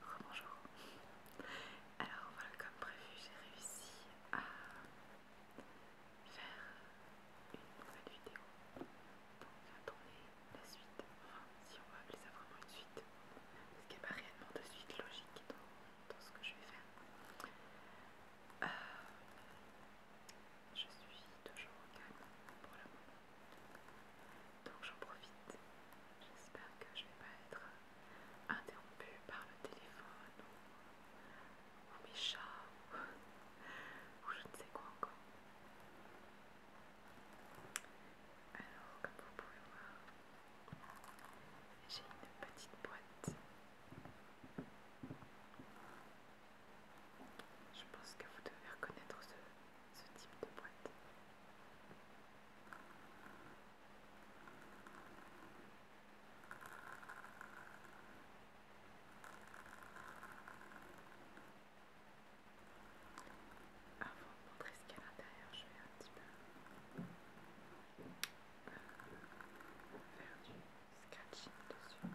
Rebonjour. Oh, Alors voilà, comme prévu, j'ai réussi à faire une nouvelle vidéo. Donc à tourner la suite. Enfin, si on va appeler ça vraiment une suite. Parce qu'il n'y a pas réellement de suite logique dans, ce que je vais faire. Euh, je suis toujours au calme pour le moment. Donc j'en profite. J'espère que je ne vais pas être euh, interrompue par le téléphone ou, mes chats ou je ne sais quoi encore. Alors comme vous pouvez voir, j'ai une petite boîte. Je pense que vous devez reconnaître ce, ce type de boîte. Avant ah, de montrer ce qu'il y a à l'intérieur, je vais un petit peu euh, faire du scratching dessus.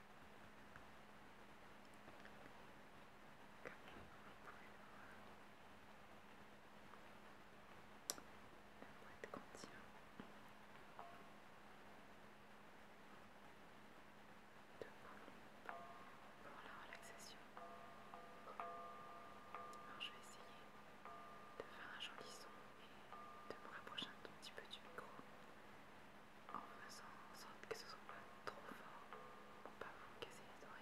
boîte contient deux boules pour la relaxation. Alors je vais essayer de faire un joli son et de me rapprocher un tout petit peu du micro en faisant en sorte que ce soit pas trop fort pour pas vous casser les oreilles.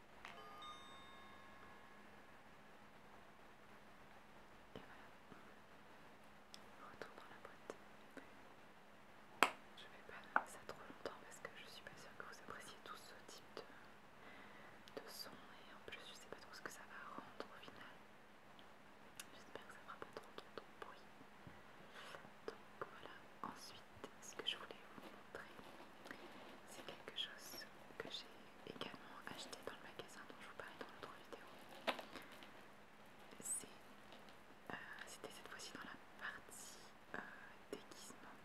Et voilà. Retour dans la boîte. Je vais pas laisser ça trop longtemps parce que je suis pas sûre que vous appréciez tous ce type de, son et en plus je sais pas trop ce que ça va rendre au final. J'espère que ça fera pas trop trop de bruit. Donc voilà, ensuite ce que je voulais vous montrer c'est quelque chose que j'ai également acheté dans le magasin dont je vous parlais dans l'autre vidéo. Euh, c'était cette fois-ci dans la partie euh, déguisement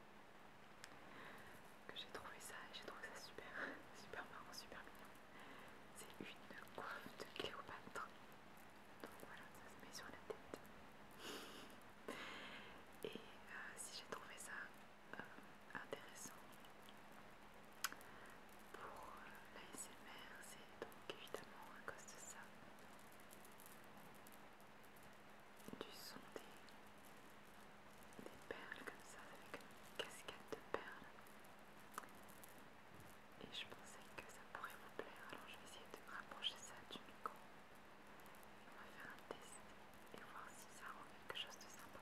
que j'ai trouvé ça et j'ai trouvé ça super, super marrant, super mignon. C'est une coiffe de Cléopâtre. Donc voilà, ça se met sur la tête. Et euh, si j'ai trouvé ça intéressant pour la l'ASMR, c'est donc évidemment à cause de ça, du son des, perles comme ça, avec une casquette de perles. Et je pensais que ça pourrait vous plaire, alors je vais essayer de rapprocher ça du micro on va faire un test et voir si ça rend quelque chose de sympa.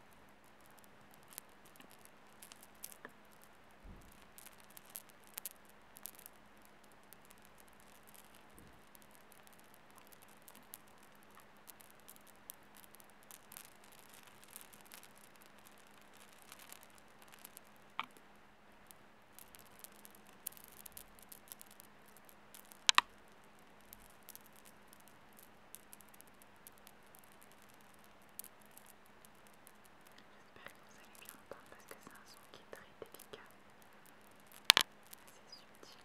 J'espère que vous allez bien entendre parce que c'est un son qui est très délicat, assez subtil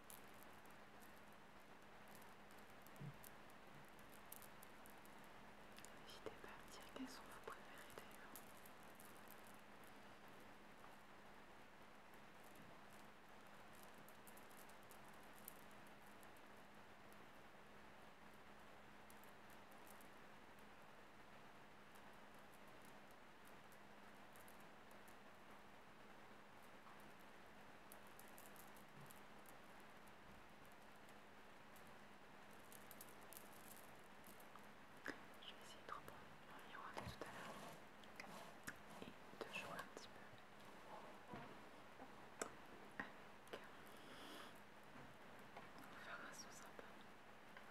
N'hésitez pas à me dire quels sont vos préférés d'ailleurs. Je vais essayer de reprendre le miroir de tout à l'heure et de jouer un petit peu avec. On va faire un son sympa.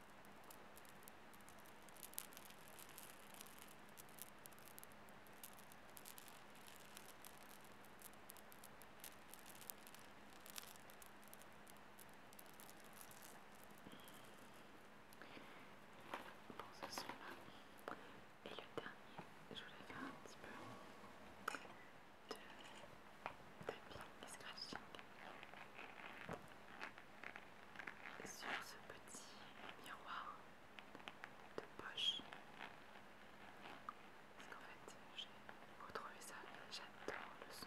Bon, ce soir Et le dernier, je voulais faire un petit peu de tapis et scratching sur ce petit miroir de poche. Parce qu'en fait, j'ai retrouvé ça j'adore le son.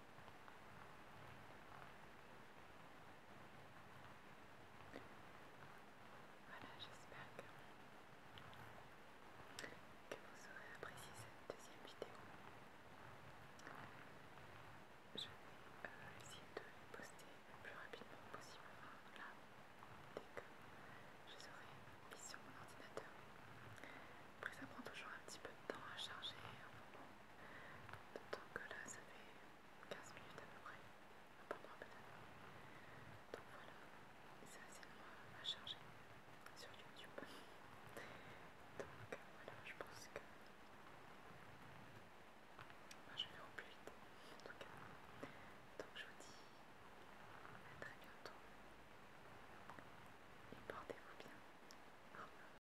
Voilà, j'espère que, vous aurez apprécié cette deuxième vidéo. Je vais euh, essayer de les poster le plus rapidement possible. Enfin, là, dès que je serai aurai sur mon ordinateur. Après, ça prend toujours un petit peu de temps à charger. D'autant que là, ça fait 15 minutes à peu près, pas moins peut-être. Donc voilà, c'est assez à charger sur YouTube. Donc voilà, je pense que je vais au plus vite en tout cas. Donc je vous dis à très bientôt et portez-vous bien.